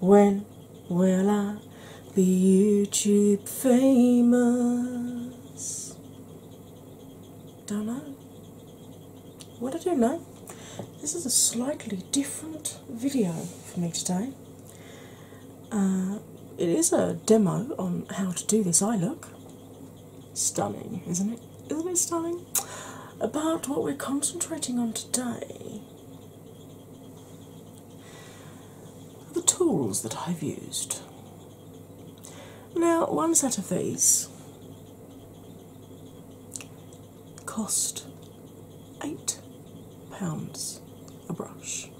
When will I be YouTube famous? Don't know. What I do know, this is a slightly different video for me today. Uh, it is a demo on how to do this eye look. Stunning, isn't it? Isn't it stunning? About what we're concentrating on today the tools that I've used. Now, one set of these cost eight pounds a brush,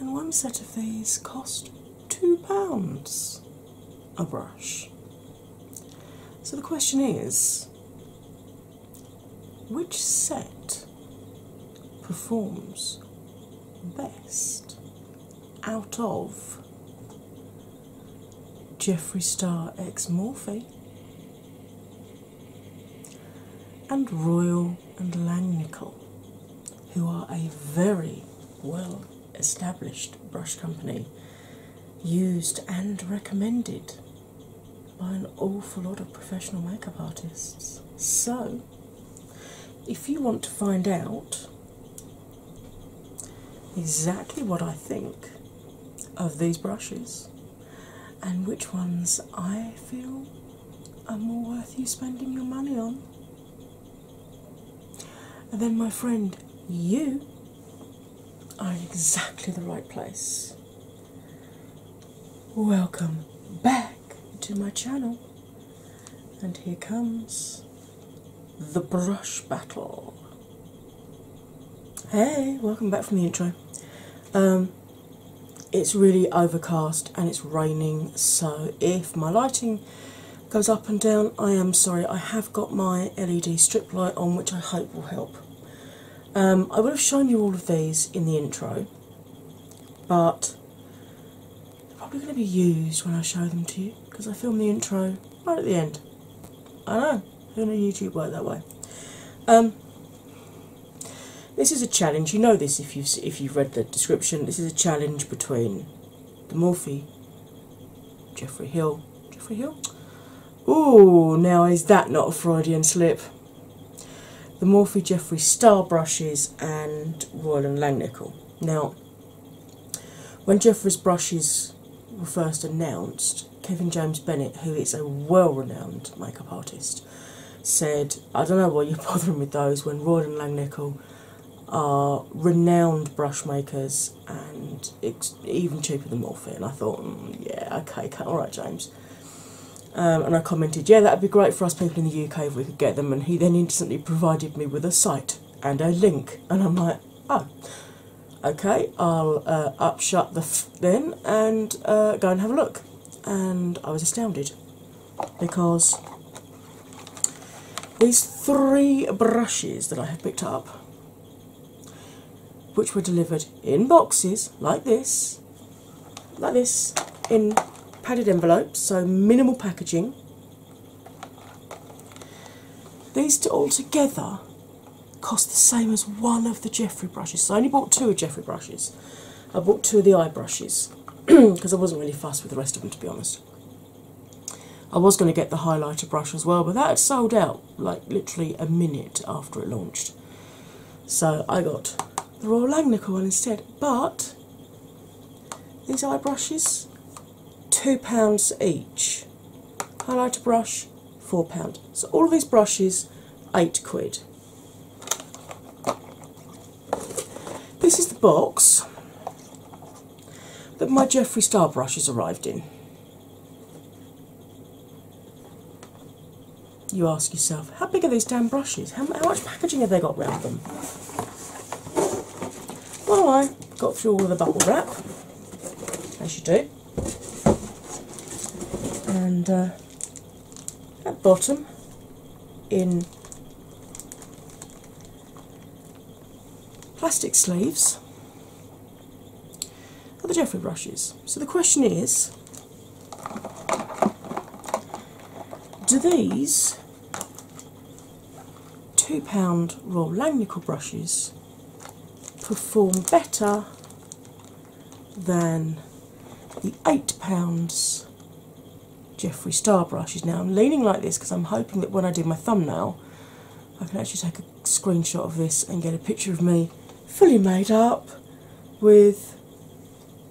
and one set of these cost two pounds a brush. So the question is which set performs best out of Jeffree Star X Morphe and Royal and Langnickel, who are a very well established brush company used and recommended by an awful lot of professional makeup artists. So, if you want to find out exactly what I think of these brushes and which ones I feel are more worth you spending your money on, then, my friend, you are in exactly the right place. Welcome back to my channel, and here comes the brush battle. Hey, welcome back from the intro. Um, it's really overcast and it's raining, so if my lighting goes up and down, I am sorry. I have got my LED strip light on, which I hope will help. Um, I would have shown you all of these in the intro, but they're probably going to be used when I show them to you because I filmed the intro right at the end. I know, who knew YouTube worked that way? Um, this is a challenge. You know this if you've if you've read the description. This is a challenge between the Morphe, Jeffrey Hill, Jeffrey Hill, Ooh, now is that not a Freudian slip? The Morphy Jeffrey Star brushes and Royal and Langnickel. Now, when Jeffrey's brushes were first announced, Kevin James Bennett, who is a well-renowned makeup artist, said, "I don't know why you're bothering with those when Royal and Langnickel are renowned brush makers and it's even cheaper than Morphe. And I thought, mm, yeah, okay, all right, James. Um, and I commented, yeah, that'd be great for us people in the UK if we could get them. And he then instantly provided me with a site and a link. And I'm like, oh, okay, I'll uh, upshut the then and uh, go and have a look. And I was astounded because these three brushes that I had picked up which were delivered in boxes like this, like this, in padded envelopes, so minimal packaging. These two all together cost the same as one of the Jeffrey brushes. So I only bought two of Jeffrey brushes. I bought two of the eye brushes because I wasn't really fussed with the rest of them to be honest. I was going to get the highlighter brush as well, but that had sold out like literally a minute after it launched. So I got the Raw Langnickel one instead. But these eye brushes, £2 each. Highlighter brush, £4. So all of these brushes, 8 quid. This is the box that my Jeffree Star brushes arrived in. You ask yourself, how big are these damn brushes? How, much packaging have they got round them? Well, I got through all of the bubble wrap, as you do, and uh, at bottom, in plastic sleeves, are the Jeffrey brushes. So the question is do these £2 raw Langnickel brushes perform better than the £8 Jeffree Star brushes? Now I'm leaning like this because I'm hoping that when I do my thumbnail I can actually take a screenshot of this and get a picture of me fully made up with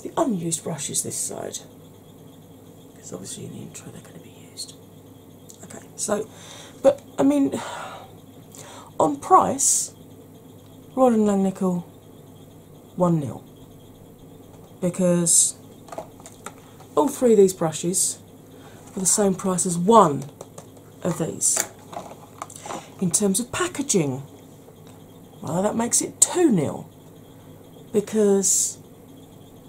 the unused brushes this side. Because obviously in the intro they're going to be used. Okay, so, but I mean, on price, Royal and Langnickel 1 0. Because all three of these brushes for the same price as one of these. In terms of packaging, well, that makes it 2 nil because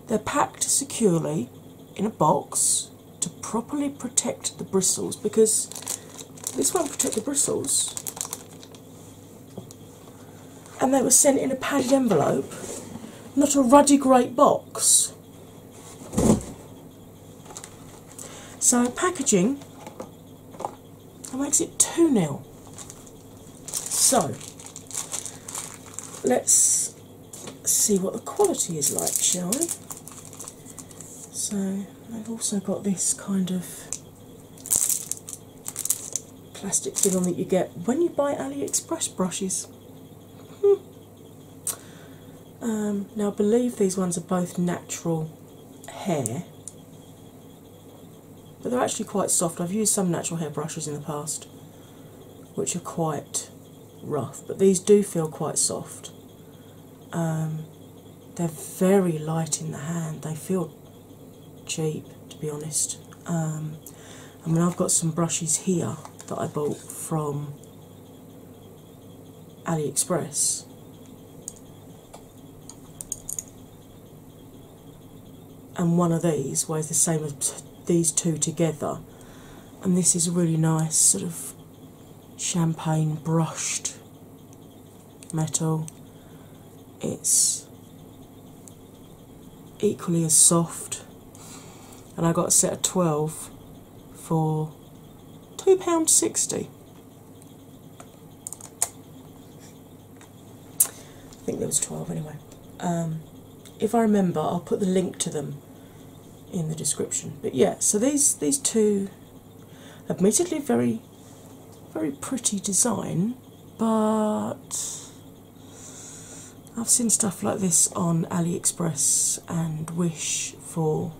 they're packed securely in a box to properly protect the bristles because this won't protect the bristles. And they were sent in a padded envelope, not a ruddy great box. So packaging that makes it 2 nil So let's see what the quality is like, shall we? So I've also got this kind of plastic film that you get when you buy AliExpress brushes. Hmm. Um, now, I believe these ones are both natural hair, but they're actually quite soft. I've used some natural hair brushes in the past which are quite rough, but these do feel quite soft. Um, they're very light in the hand, they feel cheap to be honest. I um, mean, I've got some brushes here that I bought from AliExpress. And one of these weighs the same as these two together. And this is a really nice sort of champagne brushed metal. It's equally as soft, and I got a set of 12 for £2.60. I think there was 12 anyway. Um, if I remember, I'll put the link to them in the description. But yeah, so these these two, admittedly very, very pretty design, but I've seen stuff like this on AliExpress and Wish for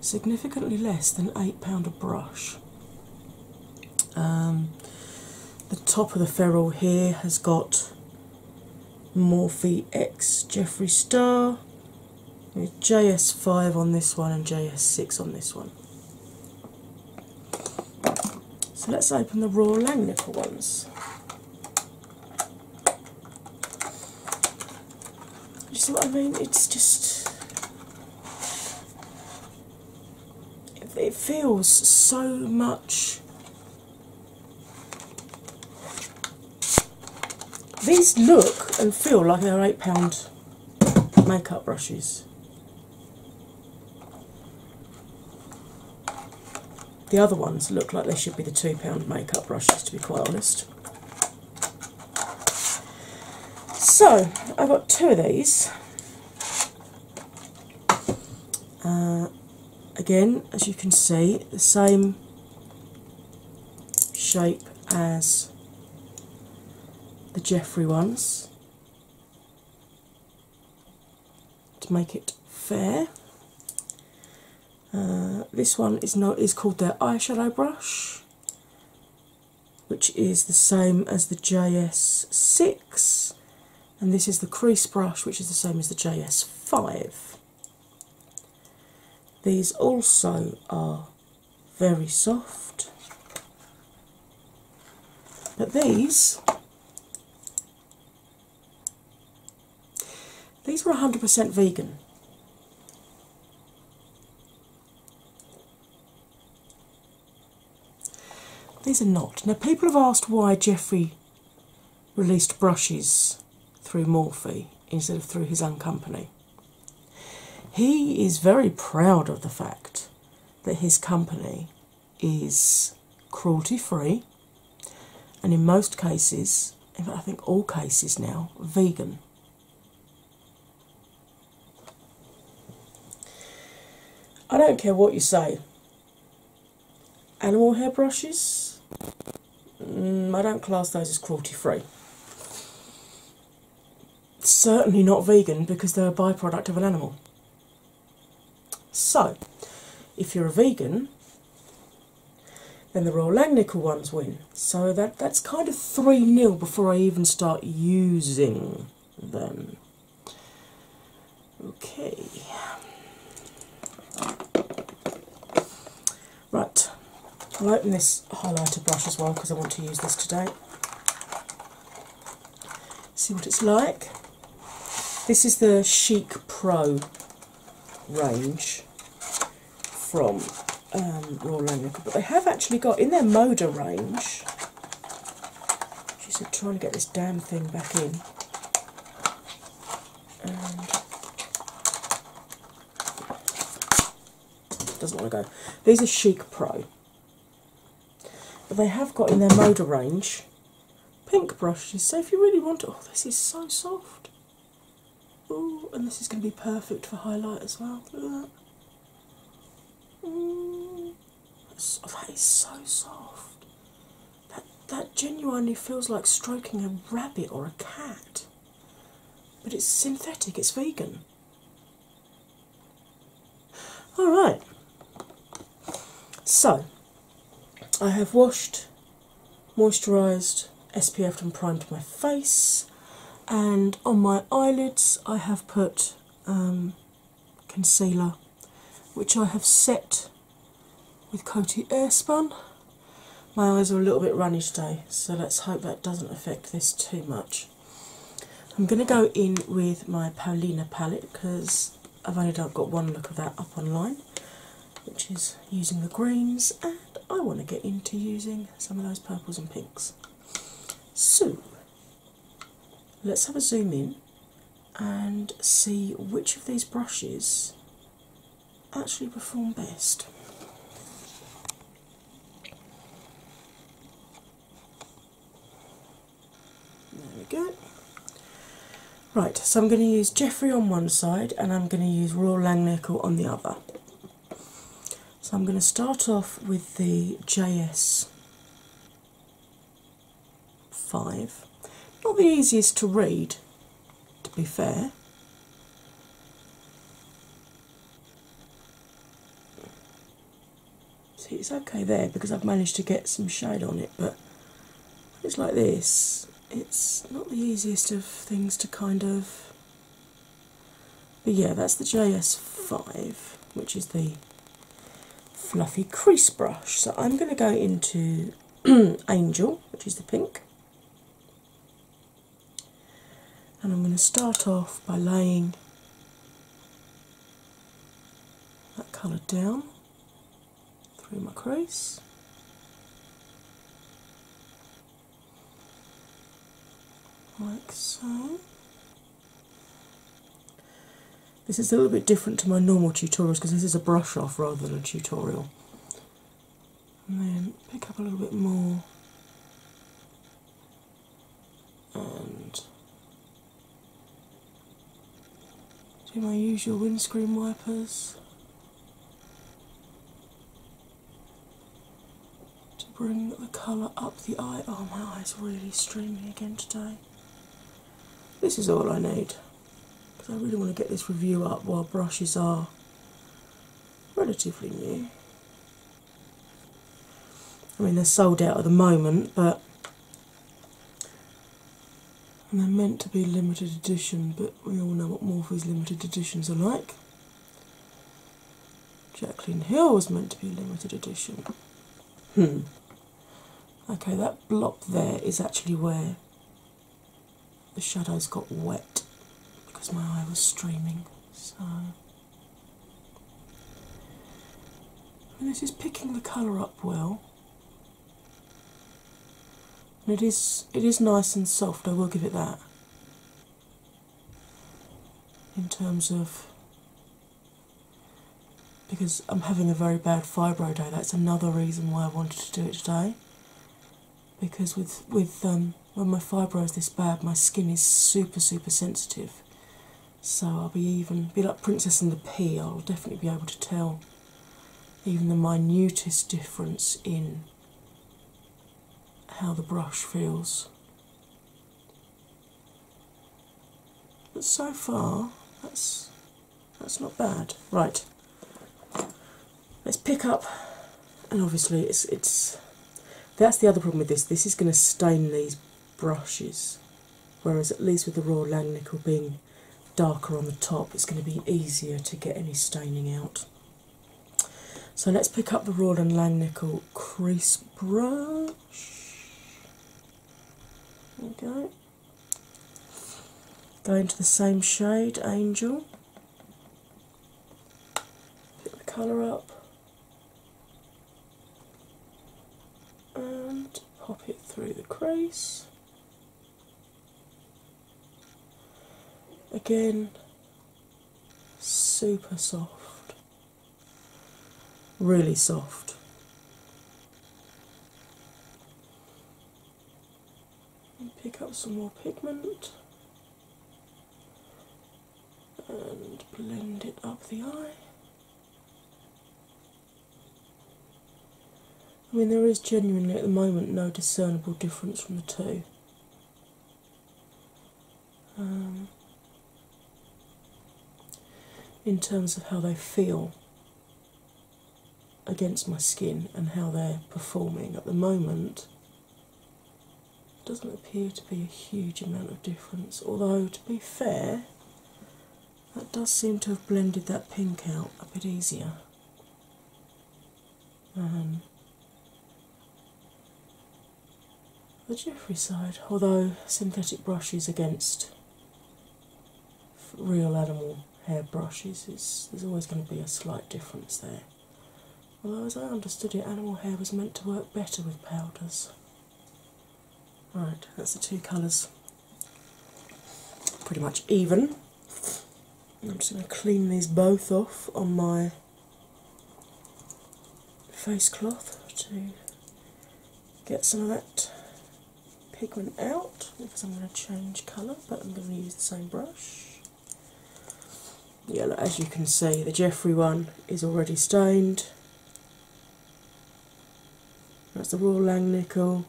significantly less than £8 a brush. Um, the top of the ferrule here has got Morphe X Jeffrey Star JS5 on this one and JS6 on this one. So let's open the raw Langnifer ones. You see what I mean? It's just. It feels so much. These look and feel like they're £8 makeup brushes. The other ones look like they should be the £2 makeup brushes, to be quite honest. So, I have got two of these. Uh, again, as you can see, the same shape as the Jeffrey ones to make it fair. Uh, this one is not is called their eyeshadow brush, which is the same as the JS6, and this is the crease brush, which is the same as the JS5. These also are very soft, but these these were 100% vegan. These are not. Now, people have asked why Jeffrey released brushes through Morphe instead of through his own company. He is very proud of the fact that his company is cruelty free and in most cases, in fact, I think all cases now, vegan. I don't care what you say. Animal hairbrushes, mm, I don't class those as cruelty free. Certainly not vegan because they're a byproduct of an animal. So, if you're a vegan, then the Royal Langnickel ones win. So that that's kind of 3 nil before I even start using them. Okay. Right, I'll open this highlighter brush as well because I want to use this today. See what it's like. This is the Chic Pro range from um, Royal oh, Anglicare, but they have actually got in their Moda range. She's trying to get this damn thing back in. And doesn't want to go. These are Chic Pro. But they have got in their Moda range pink brushes, so if you really want oh, this is so soft. Oh, and this is going to be perfect for highlight as well. Look at that. Ooh, that is so soft. That that genuinely feels like stroking a rabbit or a cat. But it's synthetic, it's vegan. Alright, so I have washed moisturised, and primed my face, and on my eyelids I have put um, concealer, which I have set with Coty Airspun. My eyes are a little bit runny today, so let's hope that doesn't affect this too much. I'm going to go in with my Paulina palette because I've only got one look of that up online, which is using the greens, and I want to get into using some of those purples and pinks. So let's have a zoom in and see which of these brushes actually perform best. There we go. Right, so I'm going to use Jeffrey on one side and I'm going to use Raw Langnickel on the other. So I'm going to start off with the JS 5. Not the easiest to read, to be fair. See, it's okay there because I've managed to get some shade on it, but it's like this it's not the easiest of things to kind of. But yeah, that's the JS5, which is the fluffy crease brush. So I'm going to go into Angel, which is the pink. And I'm going to start off by laying that colour down through my crease. Like so. This is a little bit different to my normal tutorials because this is a brush off rather than a tutorial. And then pick up a little bit more and do my usual windscreen wipers to bring the colour up the eye. Oh, my eye's really streaming again today. This is all I need because I really want to get this review up while brushes are relatively new. I mean, they're sold out at the moment, but and they're meant to be limited edition, but we all know what Morphy's limited editions are like. Jacqueline Hill was meant to be limited edition. Hmm. Okay, that block there is actually where the shadows got wet because my eye was streaming. So, this is picking the colour up well it is it is nice and soft, I will give it that. In terms of because I'm having a very bad fibro day, that's another reason why I wanted to do it today. Because with with um, when my fibro is this bad, my skin is super super sensitive. So I'll be even be like Princess in the Pea. I'll definitely be able to tell even the minutest difference in how the brush feels. But so far, that's that's not bad. Right, let's pick up, and obviously it's it's that's the other problem with this. This is going to stain these brushes, whereas at least with the Royal Langnickel being darker on the top, it's going to be easier to get any staining out. So let's pick up the Royal Langnickel crease brush. There go. Go into the same shade, Angel. Pick the colour up and pop it through the crease. Again, super soft, really soft. pick up some more pigment and blend it up the eye. I mean, there is genuinely at the moment no discernible difference from the two. Um, in terms of how they feel against my skin and how they're performing at the moment, doesn't appear to be a huge amount of difference. Although, to be fair, that does seem to have blended that pink out a bit easier. Um, the Jeffrey side, although synthetic brushes against real animal hair brushes, there's always going to be a slight difference there. Although, as I understood it, animal hair was meant to work better with powders. Right, that's the two colours pretty much even. I'm just going to clean these both off on my face cloth to get some of that pigment out because I'm going to change colour but I'm going to use the same brush. Yeah, as you can see, the Jeffrey one is already stained. That's the lang nickel.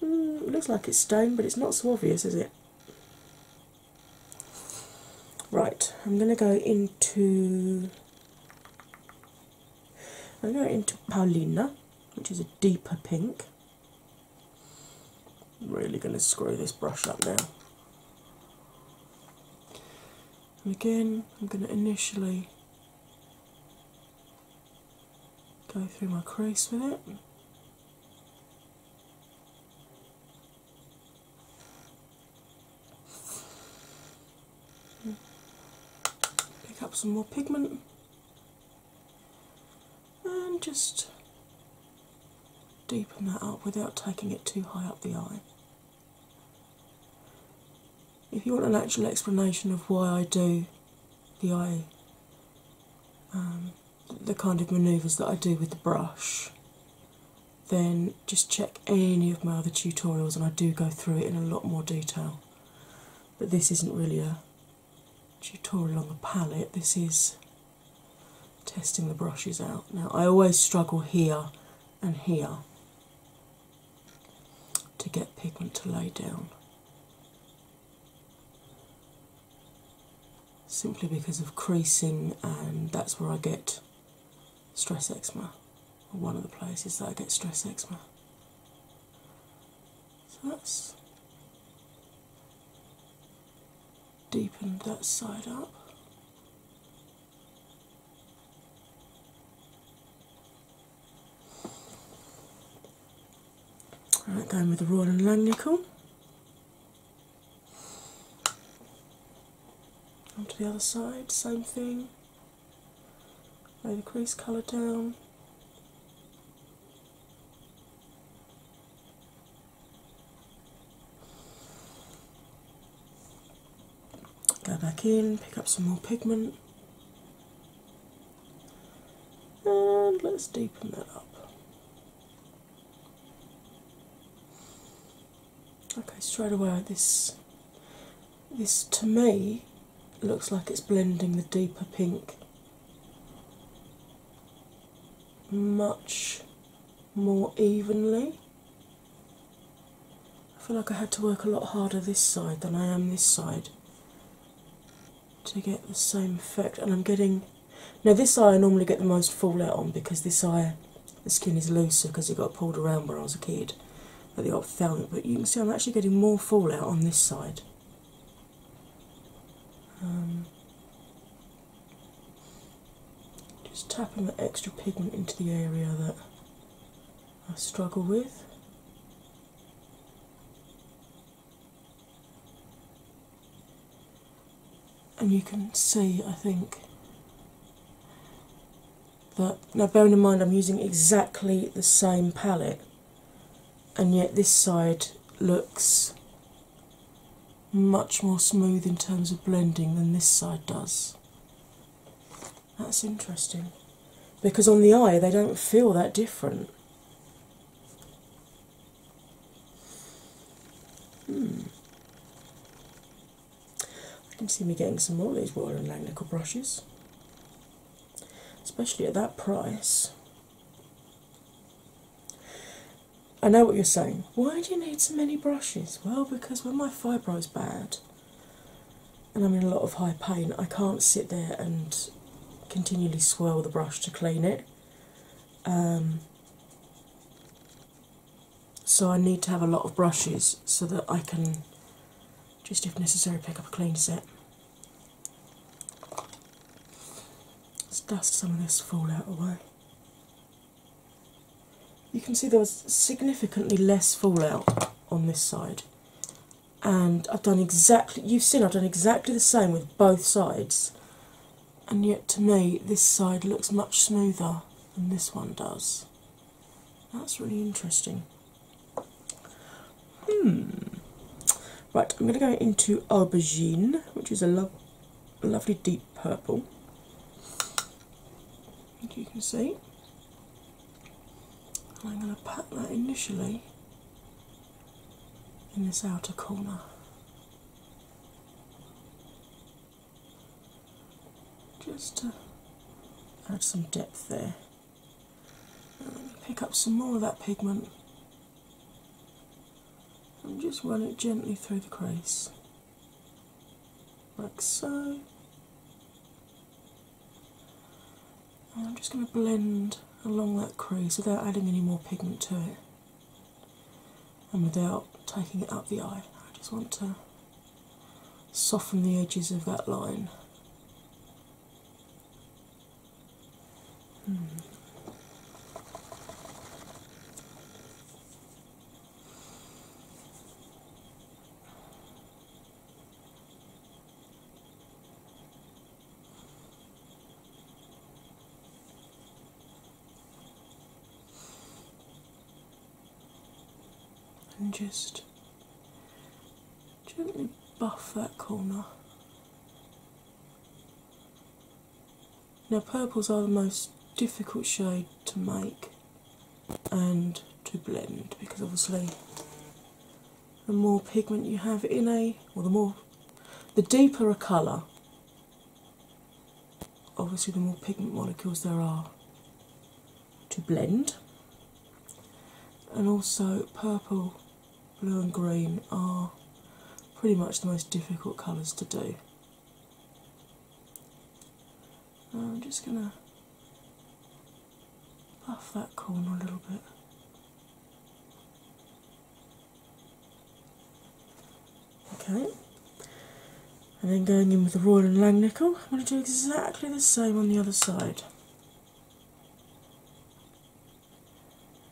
Hmm, looks like it's stone, but it's not so obvious, is it? Right, I'm going to go into. I'm going into Paulina, which is a deeper pink. really going to screw this brush up now. And again, I'm going to initially go through my crease with it. Pick up some more pigment and just deepen that up without taking it too high up the eye. If you want an actual explanation of why I do the eye um, the kind of maneuvers that I do with the brush, then just check any of my other tutorials and I do go through it in a lot more detail. But this isn't really a tutorial on the palette, this is testing the brushes out. Now, I always struggle here and here to get pigment to lay down simply because of creasing, and that's where I get stress eczema, one of the places that I get stress eczema. So that's deepen that side up. Right, going with the Royal and Langnickel. Onto the other side, same thing. Lay the crease colour down. Go back in, pick up some more pigment and let's deepen that up. Okay, straight away this this to me looks like it's blending the deeper pink much more evenly. I feel like I had to work a lot harder this side than I am this side to get the same effect. And I'm getting now this eye I normally get the most fallout on because this eye the skin is looser because it got pulled around when I was a kid at the ophthalmic. But you can see I'm actually getting more fallout on this side. Um, just tapping that extra pigment into the area that I struggle with and you can see, I think, that now bearing in mind I'm using exactly the same palette, and yet this side looks much more smooth in terms of blending than this side does. That's interesting because on the eye they don't feel that different. Hmm. I can see me getting some more of these Royal and Lang brushes, especially at that price. I know what you're saying. Why do you need so many brushes? Well, because when my fibro is bad and I'm in a lot of high pain, I can't sit there and continually swirl the brush to clean it. Um, so I need to have a lot of brushes so that I can just, if necessary, pick up a clean set. Let's dust some of this fallout away. You can see there was significantly less fallout on this side and I've done exactly you've seen I've done exactly the same with both sides and yet to me this side looks much smoother than this one does. That's really interesting. Hmm. Right, I'm going to go into aubergine, which is a, lo lovely deep purple. you can see. I'm going to pat that initially in this outer corner. Just to add some depth there. Uh, pick up some more of that pigment and just run it gently through the crease, like so. Oh, I'm just going to blend along that crease without adding any more pigment to it and without taking it up the eye. I just want to soften the edges of that line and just gently buff that corner. Now, purples are the most difficult shade to make and to blend because obviously the more pigment you have in a, or the more, the deeper a colour, obviously the more pigment molecules there are to blend. And also, purple, blue, and green are pretty much the most difficult colours to do. I'm just going to buff that corner a little bit. Okay, and then going in with the Royal and Lang nickel, I'm going to do exactly the same on the other side.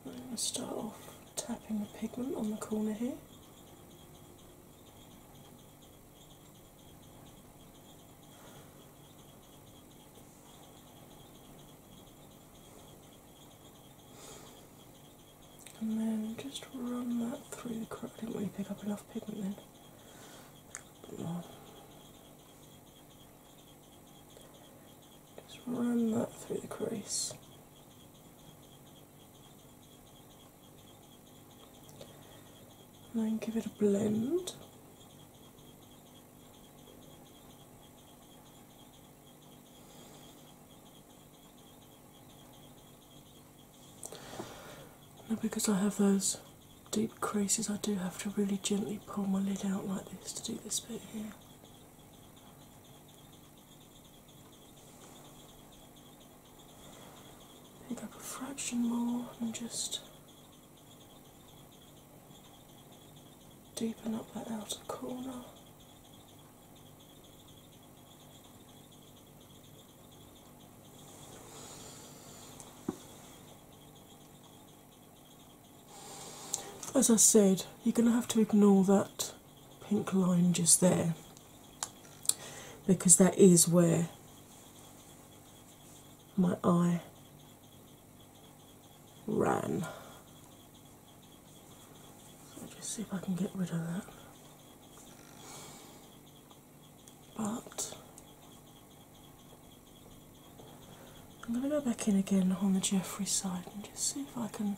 I'm going to start off tapping the pigment on the corner here. And then just run that through the crop. I did pick up enough pigment then. just run that through the crease. And then give it a blend because I have those deep creases, I do have to really gently pull my lid out like this to do this bit here. Pick up a fraction more and just deepen up that outer corner. As I said, you're going to have to ignore that pink line just there because that is where my eye ran. Let's see if I can get rid of that. But I'm going to go back in again on the Jeffrey side and just see if I can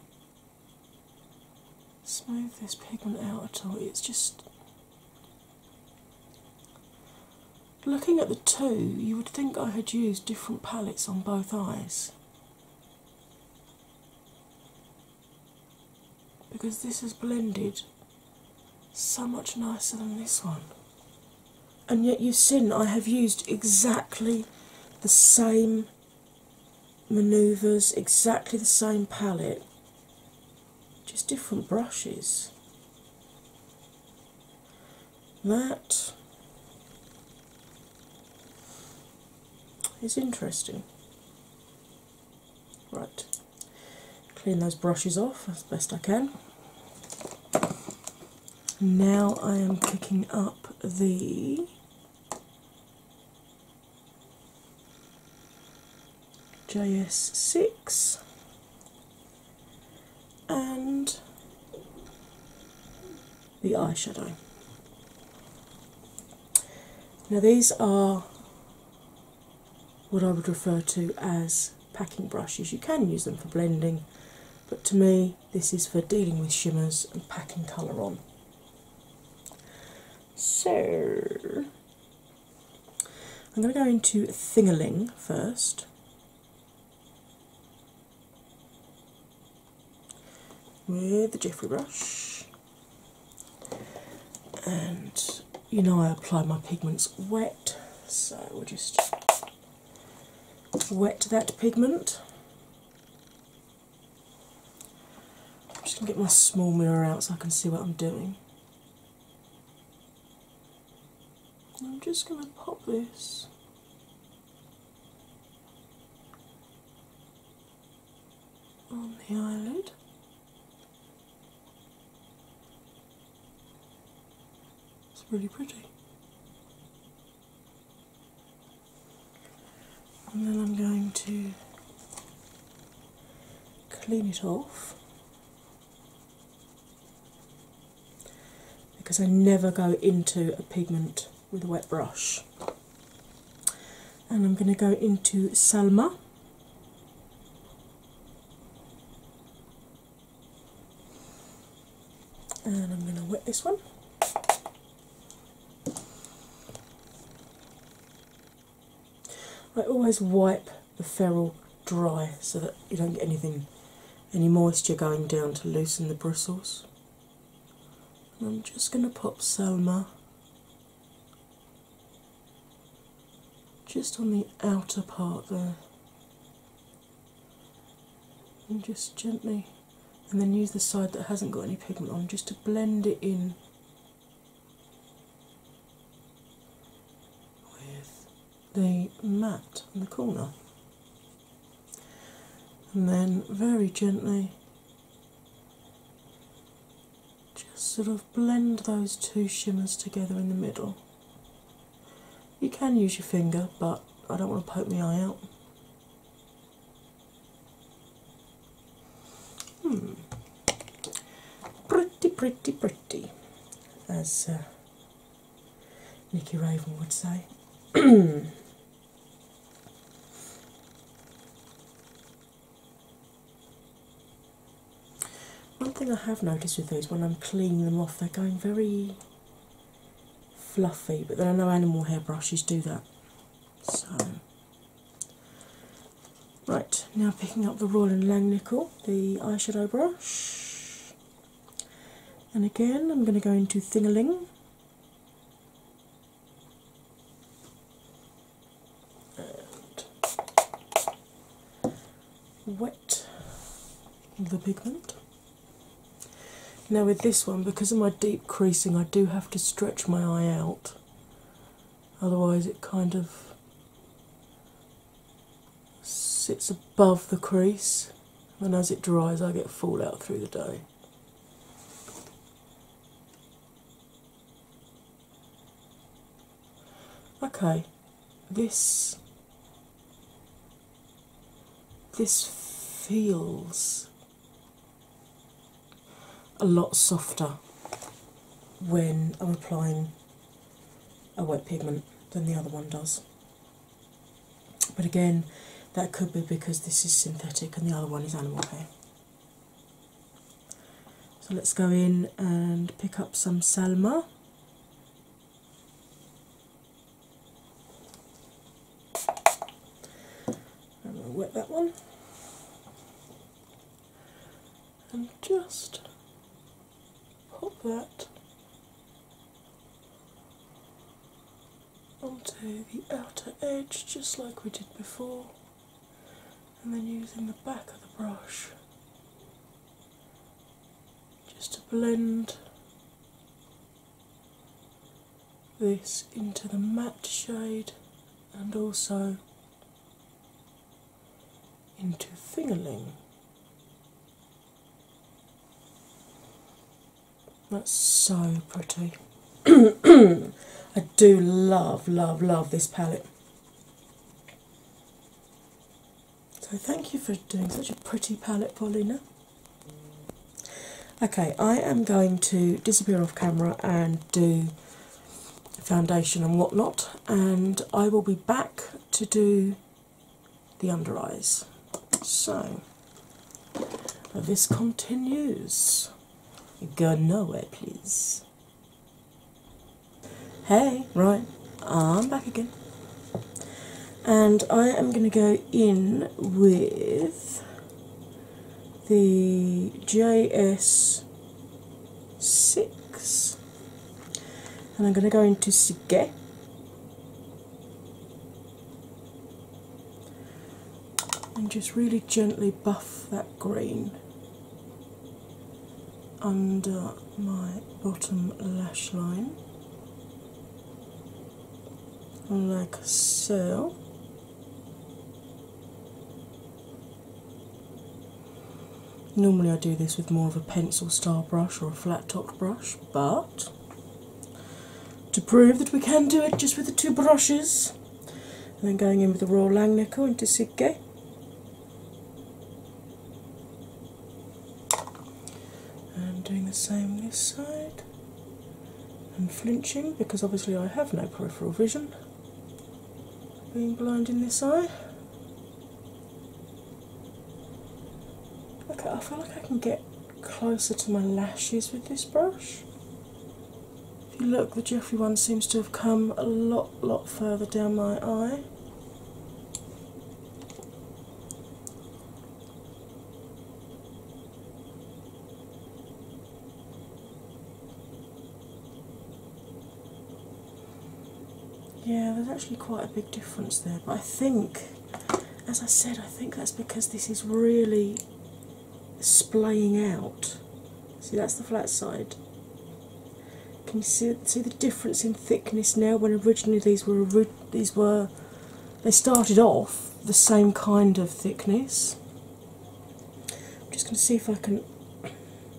smooth this pigment out at all. It's just looking at the two, you would think I had used different palettes on both eyes because this has blended so much nicer than this one. And yet, you've seen I have used exactly the same maneuvers, exactly the same palette, just different brushes that is interesting. Right, clean those brushes off as best I can. Now I am picking up the JS6 and the eyeshadow. Now, these are what I would refer to as packing brushes. You can use them for blending, but to me, this is for dealing with shimmers and packing colour on. So, I'm going to go into Thingaling first with the Jiffy brush, and you know I apply my pigments wet, so we'll just wet that pigment. I'm just gonna get my small mirror out so I can see what I'm doing. I'm just going to pop this on the island. It's pretty pretty. And then I'm going to clean it off because I never go into a pigment with a wet brush. And I'm going to go into Salma. And I'm going to wet this one. I always wipe the ferrule dry so that you don't get anything, any moisture going down to loosen the bristles. And I'm just going to pop Selma just on the outer part there. And just gently, and then use the side that hasn't got any pigment on just to blend it in with the mat in the corner and then very gently just sort of blend those two shimmers together in the middle. You can use your finger, but I don't want to poke my eye out. Hmm. Pretty, pretty, pretty, as uh, Nicky Raven would say. One thing I have noticed with these when I'm cleaning them off, they're going very fluffy, but then I know animal hairbrushes do that. So, right now picking up the Royal Langnickel, the eyeshadow brush. And again, I'm going to go into Thingaling. And wet the pigment. Now, with this one, because of my deep creasing, I do have to stretch my eye out, otherwise, it kind of sits above the crease and as it dries, I get fallout through the day. Okay, this this feels a lot softer when I'm applying a wet pigment than the other one does. But again, that could be because this is synthetic and the other one is animal hair. So let's go in and pick up some Salma. And am going to wet that one and just pop that onto the outer edge just like we did before, and then using the back of the brush just to blend this into the matte shade and also into fingerling. That's so pretty. I do love, love, love this palette. So thank you for doing such a pretty palette, Paulina. Okay, I am going to disappear off camera and do foundation and whatnot, and I will be back to do the under eyes. So this continues. Go nowhere, please. Hey, right, I'm back again. And I am going to go in with the JS6. And I'm going to go into Sige and just really gently buff that green under my bottom lash line, like so. Normally, I do this with more of a pencil style brush or a flat topped brush, but to prove that we can do it just with the two brushes, and then going in with the raw Lang into Sigge. And doing the same this side and flinching because obviously I have no peripheral vision being blind in this eye. Okay, I feel like I can get closer to my lashes with this brush. If you look, the Jeffrey one seems to have come a lot, lot further down my eye. Yeah, there's actually quite a big difference there, but I think as I said, I think that's because this is really splaying out. See, that's the flat side. Can you see see the difference in thickness now? When originally these were these were they started off the same kind of thickness. I'm just going to see if I can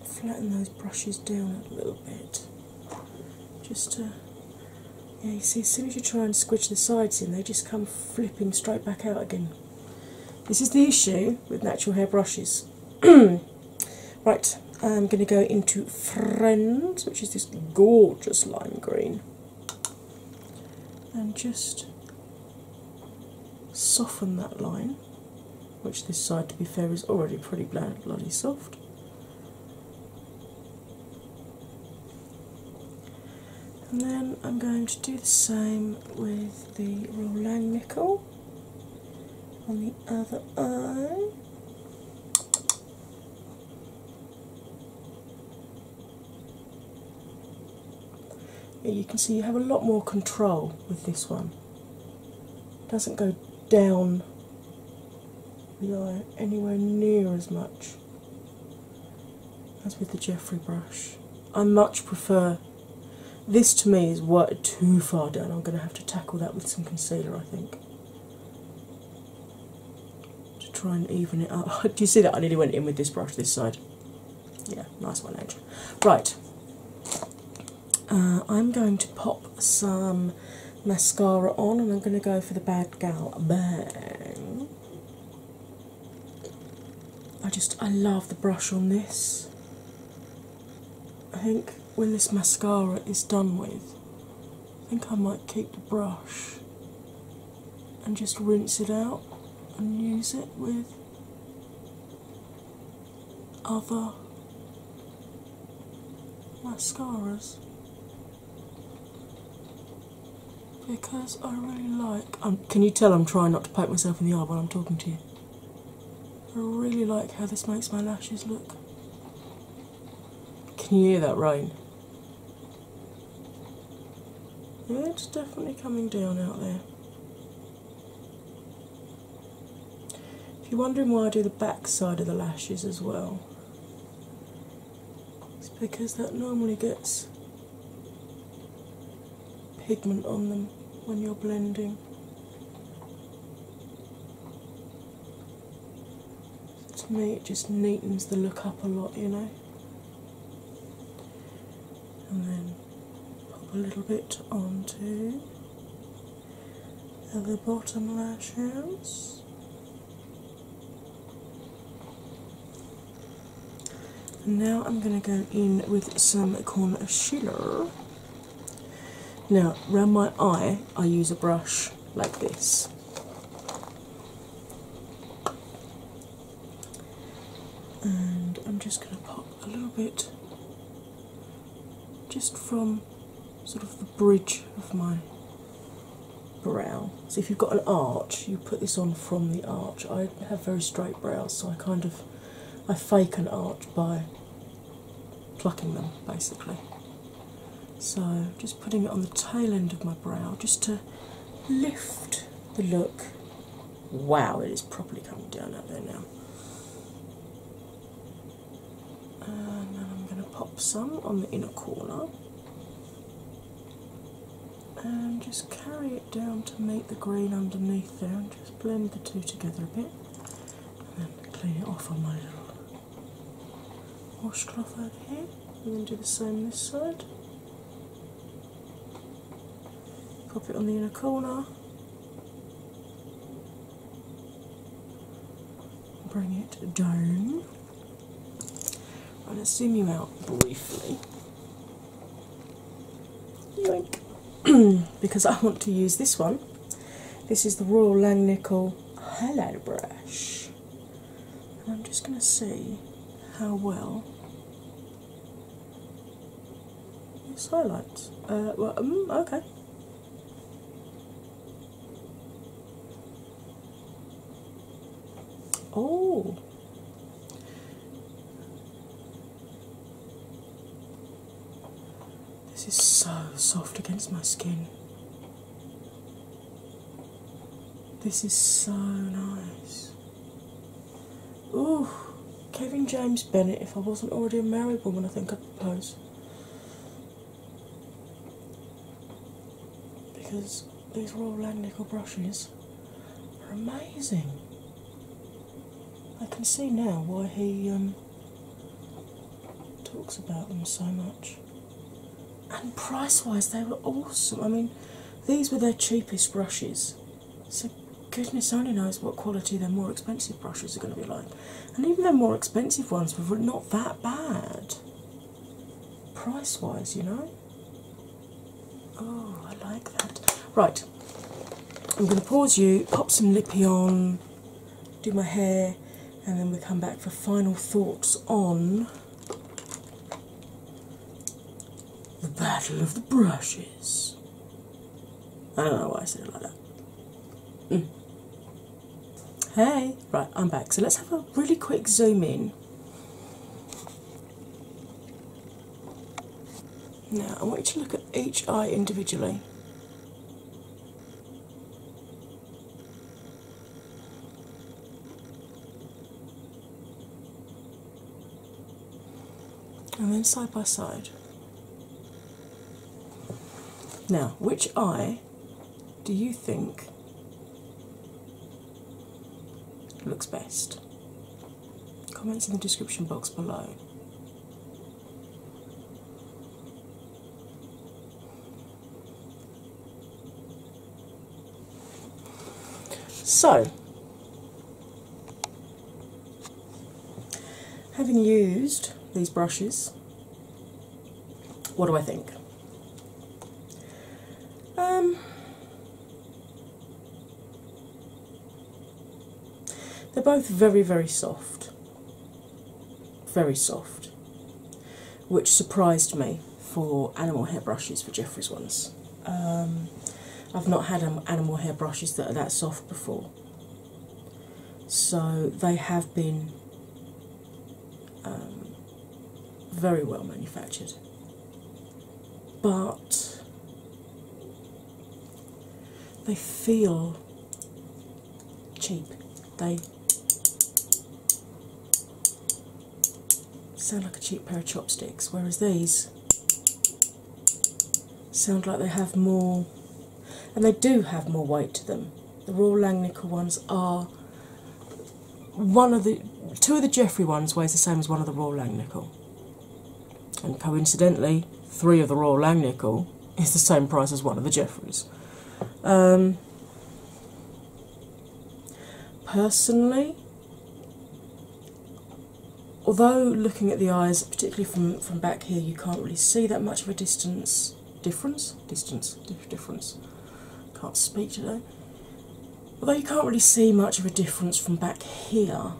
flatten those brushes down a little bit, just to yeah, you see, as soon as you try and squidge the sides in, they just come flipping straight back out again. This is the issue with natural hair brushes. right, I'm going to go into Friends, which is this gorgeous lime green, and just soften that line, which this side, to be fair, is already pretty bloody soft. And then I'm going to do the same with the Roland nickel on the other eye. you can see you have a lot more control with this one. It doesn't go down the eye anywhere near as much as with the Jeffrey brush. I much prefer this to me is worked too far down. I'm going to have to tackle that with some concealer, I think. To try and even it up. Do you see that? I nearly went in with this brush this side. Yeah, nice one, Edge. Right. Uh, I'm going to pop some mascara on, and I'm going to go for the Bad Gal Bang. I just I love the brush on this. I think when this mascara is done with, I think I might keep the brush and just rinse it out and use it with other mascaras because I really like. Um, can you tell I'm trying not to poke myself in the eye while I'm talking to you? I really like how this makes my lashes look. Can you hear that rain? Yeah, it's definitely coming down out there. If you're wondering why I do the back side of the lashes as well, it's because that normally gets pigment on them when you're blending. To me, it just neatens the look up a lot, you know. And then pop a little bit onto the other bottom lashes now I'm going to go in with some Corn concealer. Now, around my eye, I use a brush like this. And I'm just going to pop a little bit just from sort of bridge of my brow. So, if you've got an arch, you put this on from the arch. I have very straight brows, so I kind of I fake an arch by plucking them basically. So, just putting it on the tail end of my brow just to lift the look. Wow, it is properly coming down out there now. And then I'm going to pop some on the inner corner and um, just carry it down to meet the green underneath there and just blend the two together a bit and then clean it off on my little washcloth over here and then do the same this side pop it on the inner corner bring it down I'm going to zoom you out briefly because I want to use this one. This is the Royal Langnickel Hello Brush, I'm just going to see how well this highlights. Uh, well, mm, okay. Oh. This is so soft against my skin. This is so nice. Ooh, Kevin James Bennett, if I wasn't already a married woman, I think I'd propose because these Royal nickel brushes are amazing. I can see now why he um, talks about them so much. And price wise, they were awesome. I mean, these were their cheapest brushes. So, goodness only knows what quality their more expensive brushes are going to be like. And even their more expensive ones were not that bad price wise, you know. Oh, I like that. Right, I'm going to pause you, pop some lippy on, do my hair, and then we come back for final thoughts on the battle of the brushes. I don't know why I said it like that. Mm. Hey, right, I'm back. So let's have a really quick zoom in. Now, I want you to look at each eye individually. And then side by side. Now, which eye do you think looks best? Comments in the description box below. So, having used these brushes, what do I think? Um, they're both very, very soft. Very soft. Which surprised me for animal hairbrushes for Jeffrey's ones. Um, I've not had animal hairbrushes that are that soft before. So they have been um, very well manufactured. But they feel cheap. They sound like a cheap pair of chopsticks, whereas these sound like they have more, and they do have more weight to them. The raw Langnickel ones are one of the two of the Jeffrey ones weighs the same as one of the Royal nickel, And coincidentally, three of the Royal nickel is the same price as one of the Jeffreys. Um, personally, although looking at the eyes, particularly from, from back here, you can't really see that much of a distance difference, distance, difference. Can't speak today. Although you can't really see much of a difference from back here,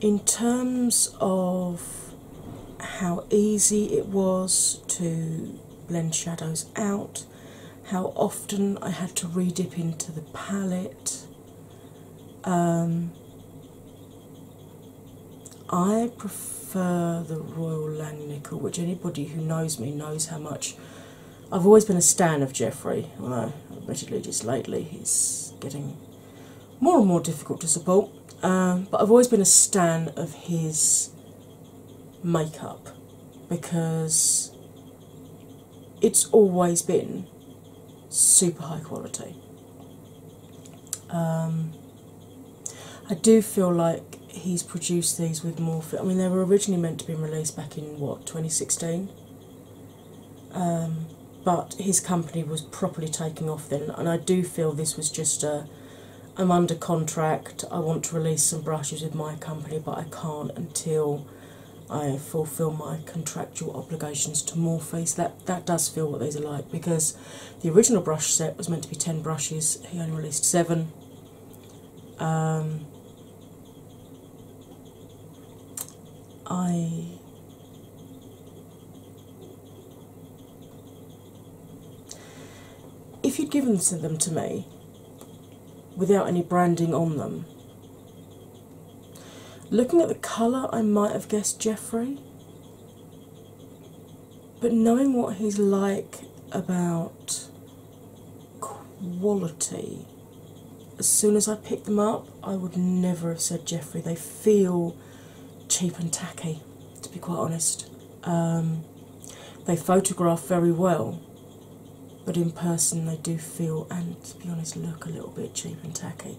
in terms of how easy it was to blend shadows out, how often I had to redip into the palette. Um, I prefer for the Royal Langnickel, which anybody who knows me knows how much I've always been a stan of Jeffrey, although admittedly just lately he's getting more and more difficult to support. Um, but I've always been a stan of his makeup because it's always been super high quality. Um, I do feel like he's produced these with Morphe. I mean, they were originally meant to be released back in what 2016, um, but his company was properly taking off then, and I do feel this was just a. I'm under contract. I want to release some brushes with my company, but I can't until I fulfil my contractual obligations to Morphe. So that that does feel what these are like because the original brush set was meant to be ten brushes. He only released seven. Um, I if you'd given them to me without any branding on them, looking at the colour, I might have guessed Jeffrey but knowing what he's like about quality, as soon as I picked them up, I would never have said Jeffrey. They feel cheap and tacky, to be quite honest. Um, they photograph very well, but in person they do feel and, to be honest, look a little bit cheap and tacky.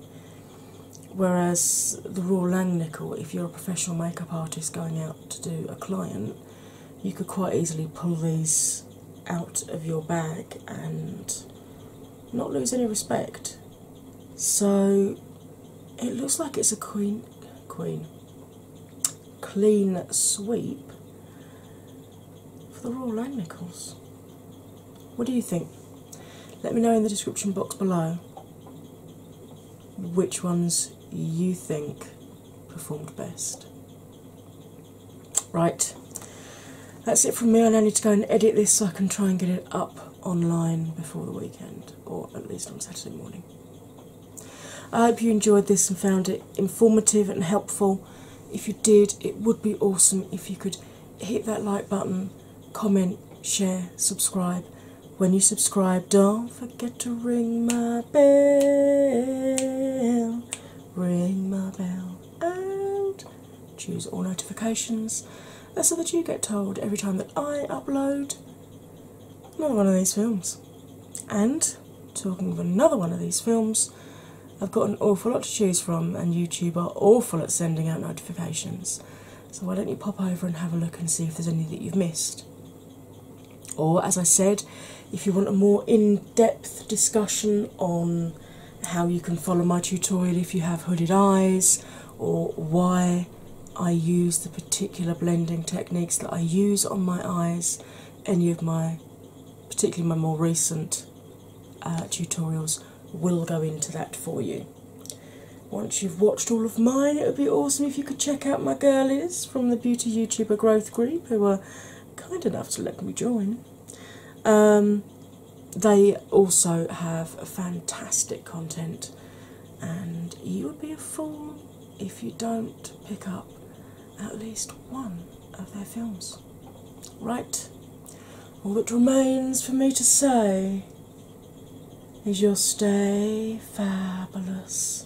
Whereas the Raw Langnickel, if you're a professional makeup artist going out to do a client, you could quite easily pull these out of your bag and not lose any respect. So it looks like it's a queen queen clean sweep for the Royal Lane Nichols. What do you think? Let me know in the description box below which ones you think performed best. Right, that's it from me. I now need to go and edit this so I can try and get it up online before the weekend, or at least on Saturday morning. I hope you enjoyed this and found it informative and helpful. If you did, it would be awesome if you could hit that like button, comment, share, subscribe, when you subscribe, don't forget to ring my bell. Ring my bell and choose all notifications so that you get told every time that I upload another one of these films. And talking of another one of these films, I've got an awful lot to choose from, and YouTube are awful at sending out notifications. So why don't you pop over and have a look and see if there's any that you've missed? Or, as I said, if you want a more in depth discussion on how you can follow my tutorial if you have hooded eyes, or why I use the particular blending techniques that I use on my eyes, any of my, particularly my more recent uh, tutorials, will go into that for you. Once you've watched all of mine, it would be awesome if you could check out my girlies from the Beauty YouTuber Growth Group, who were kind enough to let me join. Um, they also have fantastic content, and you would be a fool if you don't pick up at least one of their films. Right? All that remains for me to say is you'll stay fabulous